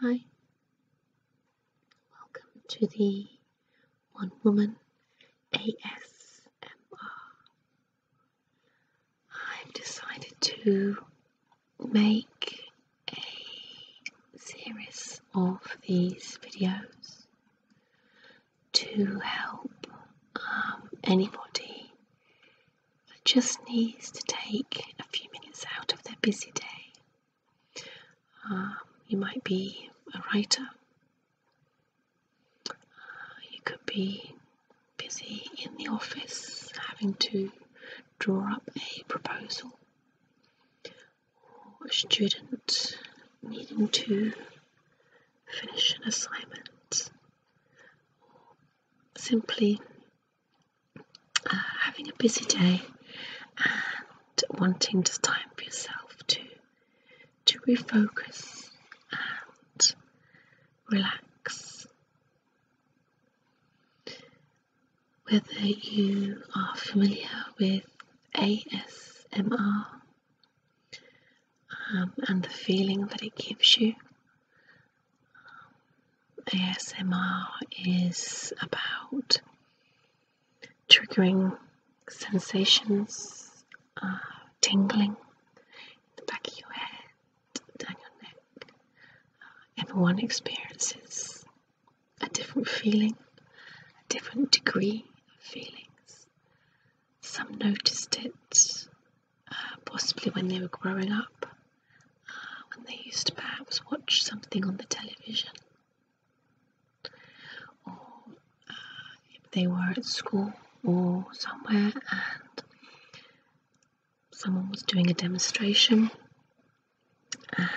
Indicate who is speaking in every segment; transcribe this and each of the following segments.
Speaker 1: Hi, welcome to the One Woman ASMR. I've decided to make a series of these videos to help um, anybody it just needs to take a few minutes out of their busy day. Um, you might be a writer, uh, you could be busy in the office having to draw up a proposal, or a student needing to finish an assignment simply uh, having a busy day and wanting just time for yourself to to refocus and relax. Whether you are familiar with ASMR um, and the feeling that it gives you, ASMR is about triggering sensations, uh, tingling in the back of your head, down your neck. Uh, everyone experiences a different feeling, a different degree of feelings. Some noticed it possibly when they were growing up, uh, when they used to perhaps watch something on the television, or uh, if they were at school or somewhere and someone was doing a demonstration and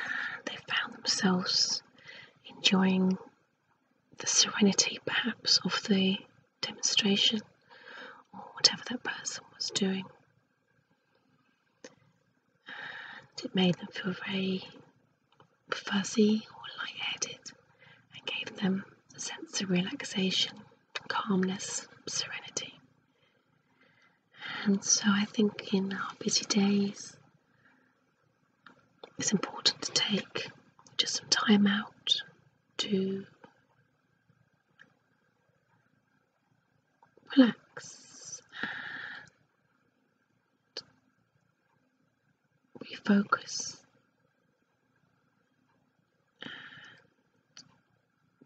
Speaker 1: they found themselves enjoying the serenity perhaps of the demonstration or whatever that person was doing. And it made them feel very fuzzy or light-headed, and gave them a sense of relaxation, calmness, serenity. And so I think in our busy days, it's important to take just some time out to relax and refocus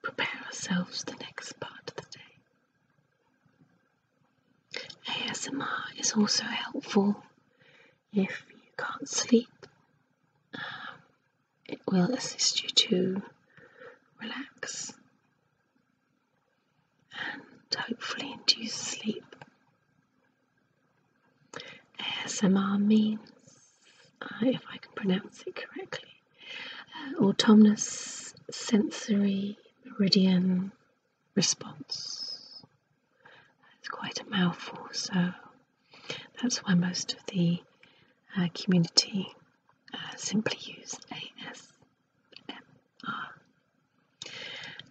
Speaker 1: prepare ourselves for the next part of the day. ASMR is also helpful if you can't sleep. Um, it will assist you to relax and hopefully induce sleep. ASMR means, uh, if I can pronounce it correctly, uh, autonomous sensory meridian response. It's quite a mouthful, so that's why most of the uh, community uh, simply use ASMR.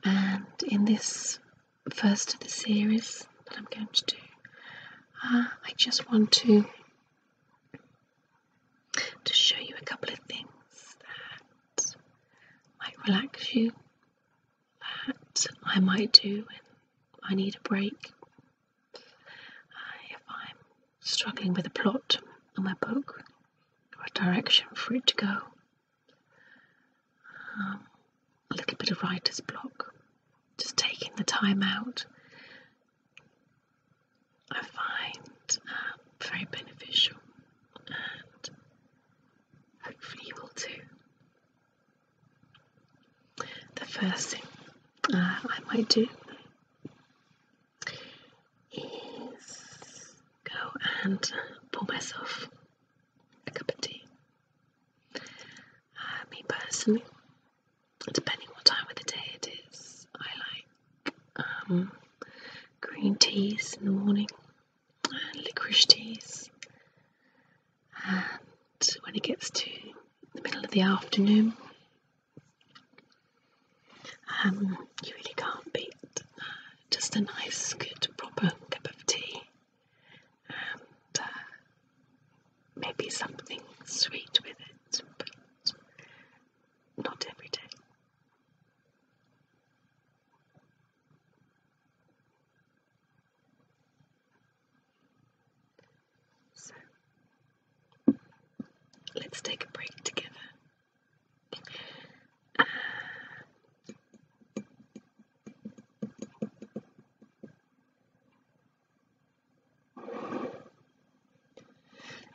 Speaker 1: And in this first of the series that I'm going to do, uh, I just want to to show you a couple of things that might relax you, that I might do when I need a break if I'm struggling with a plot on my book or a direction for it to go, um, a little bit of writer's block, just taking the time out, I find um, very beneficial and hopefully will too. The first thing uh, I might do is go and pour myself a cup of tea. Uh, me personally, depending what time of the day it is, I like um, green teas in the morning, and licorice teas, and when it gets to the middle of the afternoon, um, you really can't beat uh, just a nice, good, proper cup of tea and uh, maybe something sweet with it, but not every day. So let's take a break together.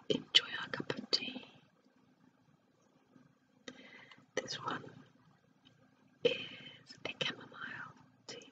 Speaker 1: enjoy our cup of tea. This one is a chamomile tea.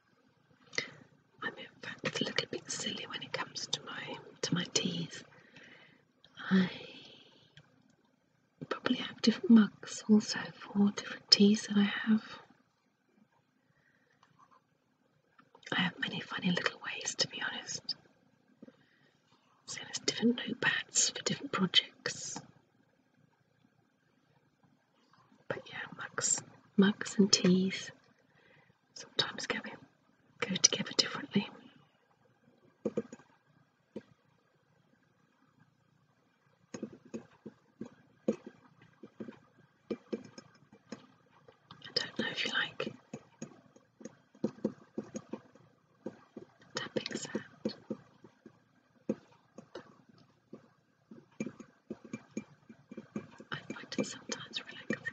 Speaker 1: I'm in fact a little bit silly when it comes to my to my teas. I probably have different mugs also for different teas that I have. I have many funny little ways to be honest. So there's different notepads for different projects. But yeah, mugs, mugs and teas sometimes go, go together differently. I don't know if you like tapping sound. I find it sometimes relaxing.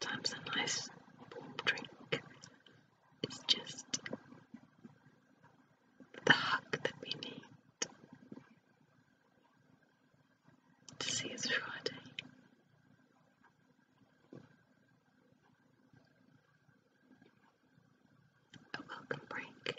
Speaker 1: Sometimes a nice warm drink is just the hug that we need to see us Friday a welcome break.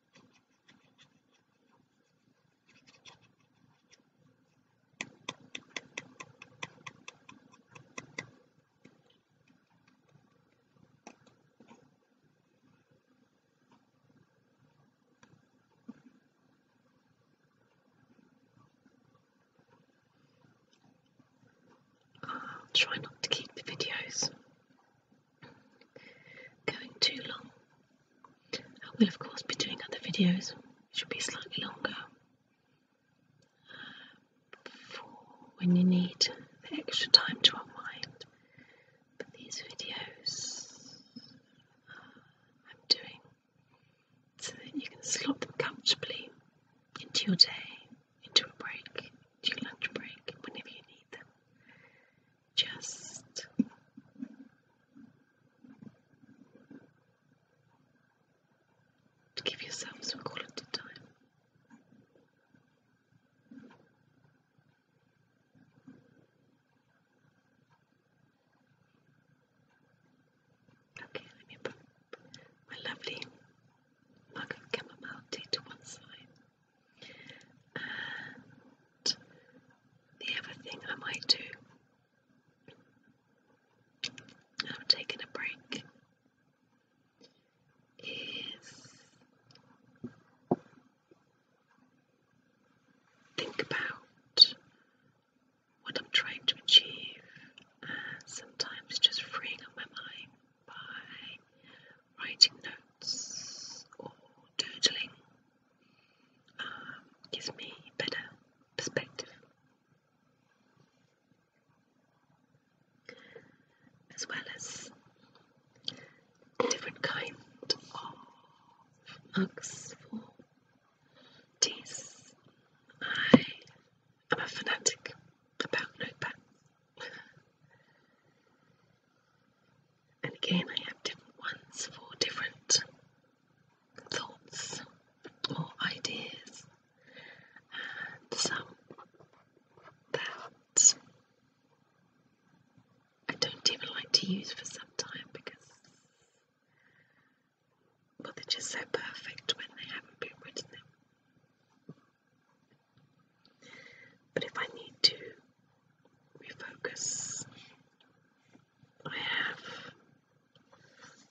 Speaker 1: I'll try not to keep the videos going too long. I will, of course, be doing other videos which will be slightly longer for when you need extra time to unwind. But these videos uh, I'm doing so that you can slot them comfortably into your day, into a break, into your lunch break, whenever you need them just give yourself some quality time. Okay, let me put my lovely mug of chamomile tea to one side the other thing I might do, I'm taking a break, is think about what I'm trying to achieve uh, sometimes just freeing up my mind by writing notes or doodling gives me better perspective. As well as different kind of mugs for teas. I am a fanatic about notepads. And again, I have different ones for different thoughts or ideas, and some that I don't even like to use for some time because, well, they're just so perfect when they haven't been written. Out. But if I need to refocus. I have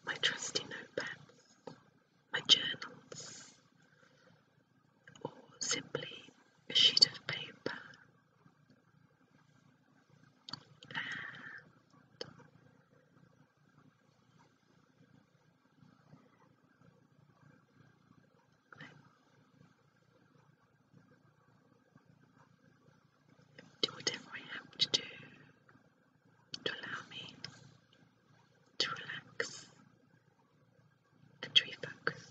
Speaker 1: my trusty notepads, my journals, or simply a sheet of paper, do whatever I have to do to allow me to relax and refocus.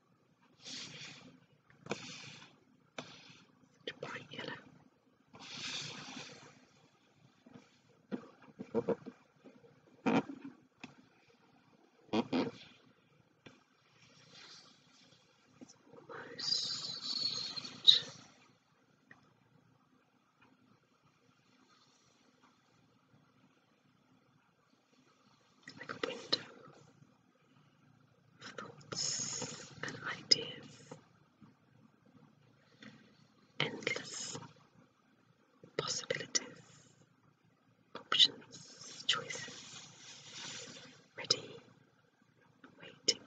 Speaker 1: to bright yellow. like a window thoughts and ideas, endless possibilities, options, choices, ready, waiting.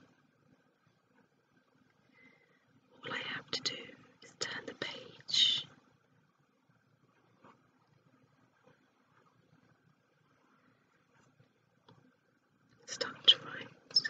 Speaker 1: All I have to do is turn the page. Stumped Rights.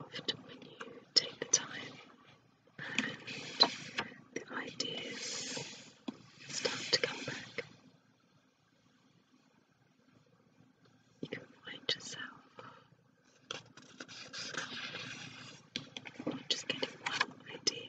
Speaker 1: Often, when you take the time the ideas start to come back, you can find yourself just getting one idea.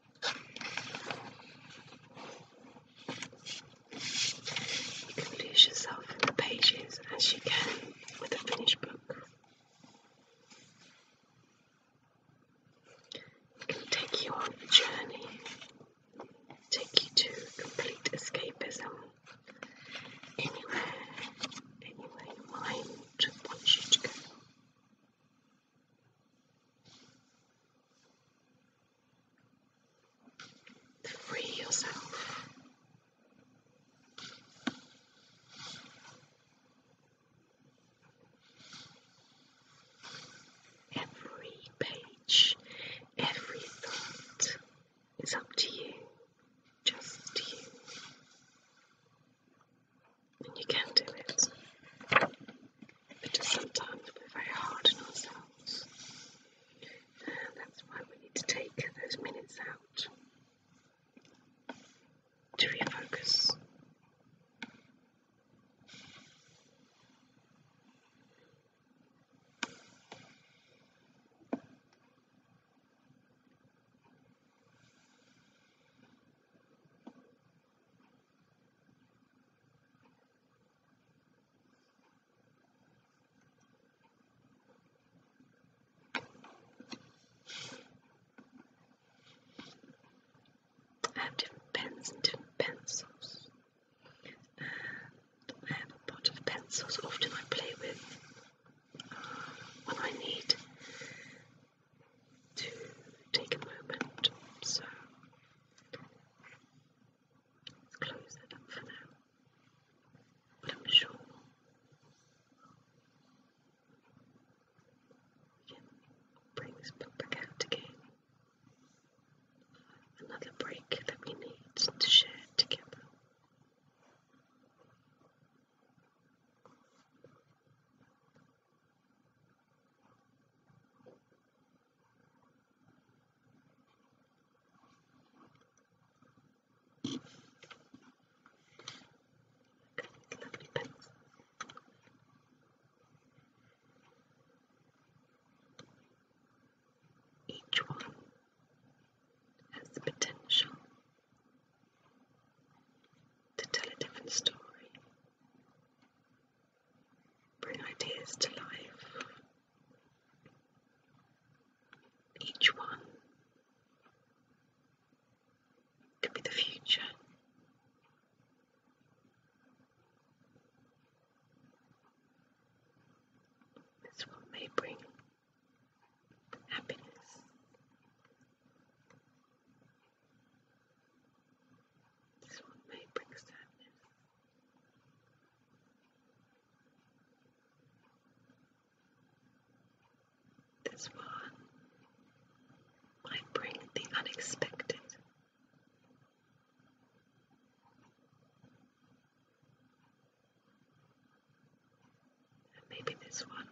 Speaker 1: Lose yourself in the pages as you can with a finished book. It can take you on a journey, take you to complete escapism anywhere, anywhere your mind wants you to go the real self. Every page, every thought is up to you, just you. And you can do it because sometimes we're very hard on ourselves. And that's why we need to take those minutes out to refocus. I have different pens and different pencils. Uh, I have a pot of pencils often I play with when I need to take a moment. So close that up for now. But I'm sure we can bring this book back out again. Another break that we need to share together. Each one has the potential to tell a different story bring ideas to life. Each one could be the future. This one may bring happiness. This one may bring sadness. This one might bring the unexpected. And maybe this one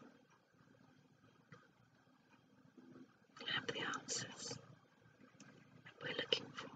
Speaker 1: have the answers that we're looking for.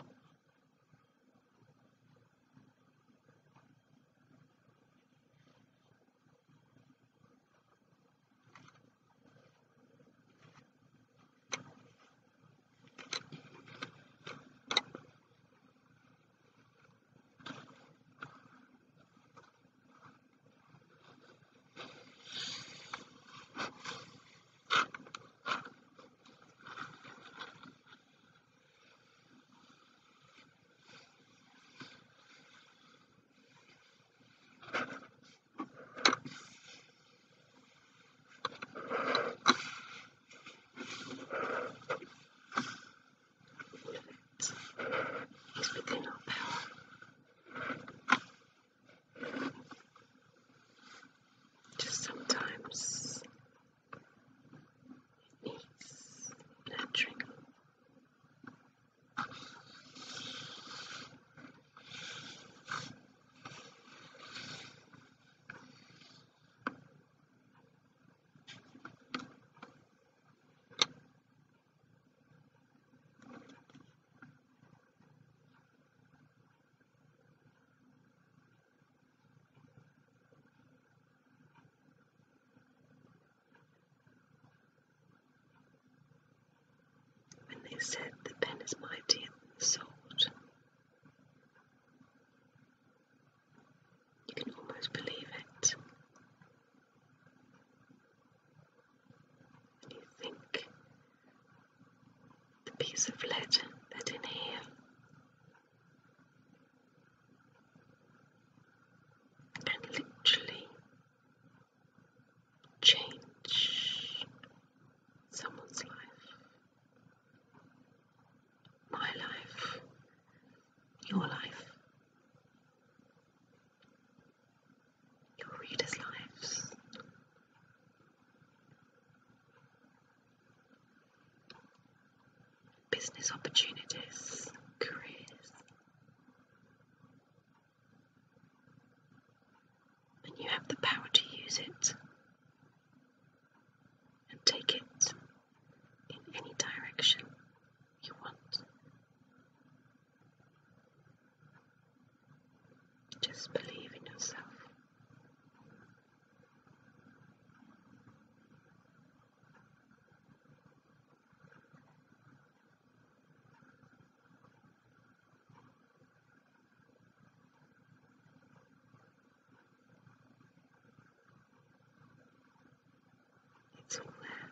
Speaker 1: It's within our power. Just sometimes it needs nurturing. And they said, The pen is mightier than the sword. You can almost believe it. Do you think the piece of lead that in here can literally change someone's life, my life, your life? your readers' lives. Business opportunities, careers. And you have the power to use it and take it in any direction you want. Just believe in yourself. It's all there.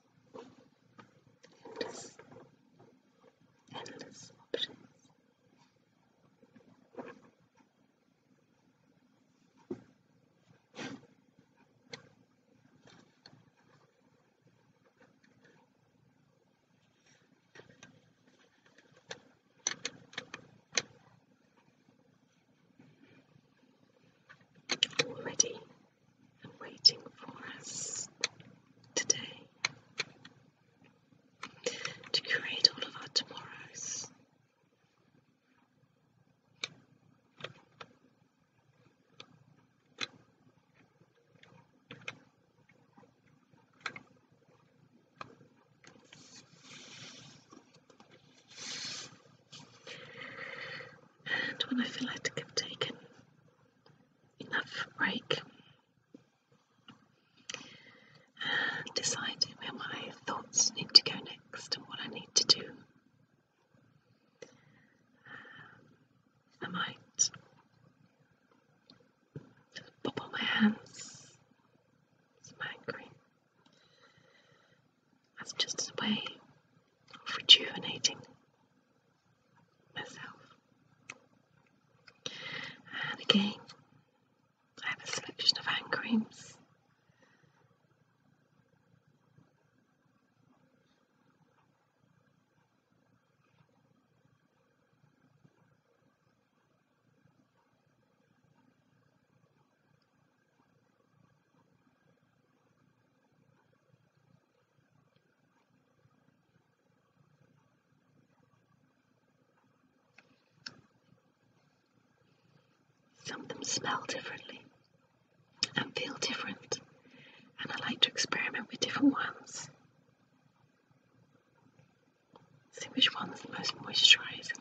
Speaker 1: Endless, endless options. Already and waiting for us today to create all of our tomorrows. And when I feel like I've taken enough break. And deciding where my thoughts need to go next and what I need to do. I might pop on my hands, some angry. That's just a way of rejuvenating myself. And again, I have a selection of hand creams. Some of them smell differently and feel different, and I like to experiment with different ones. See which one's the most moisturising.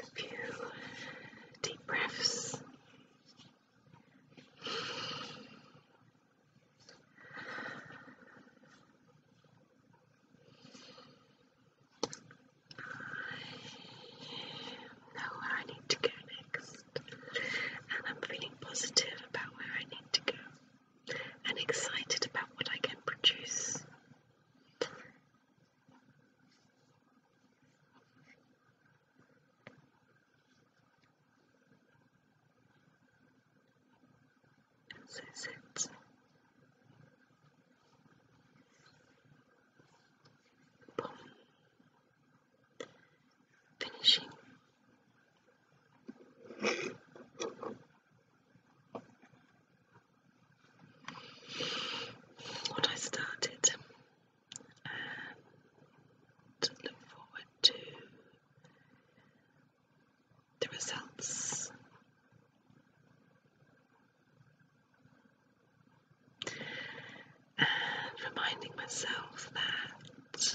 Speaker 1: a few deep breaths. know where I need to go next, and I'm feeling positive about where I need to go and excited about what I can produce. This is it. Boom. Finishing what I started and look forward to the results. And reminding myself that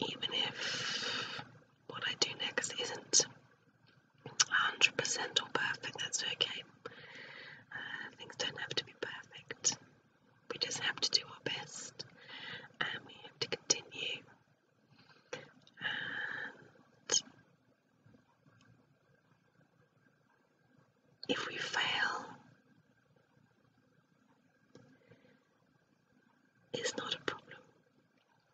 Speaker 1: even if what I do next isn't 100% or perfect, that's okay. Uh, things don't have to be perfect. We just have to do our best and we have to continue. And if we fail, it's not a problem.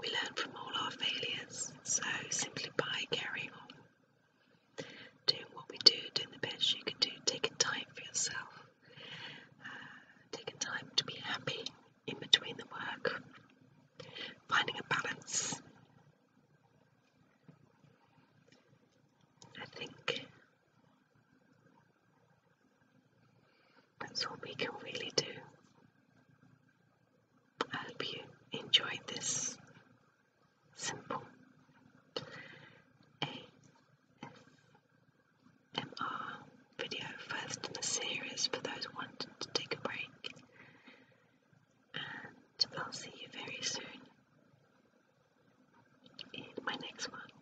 Speaker 1: We learn from all our failures, so simply by carrying on. Doing what we do, doing the best you can do, taking time for yourself, uh, taking time to be happy in between the work, finding a balance. I think that's all we can really do. I hope you enjoyed this simple ASMR video, first in the series for those wanting to take a break. And I'll see you very soon in my next one.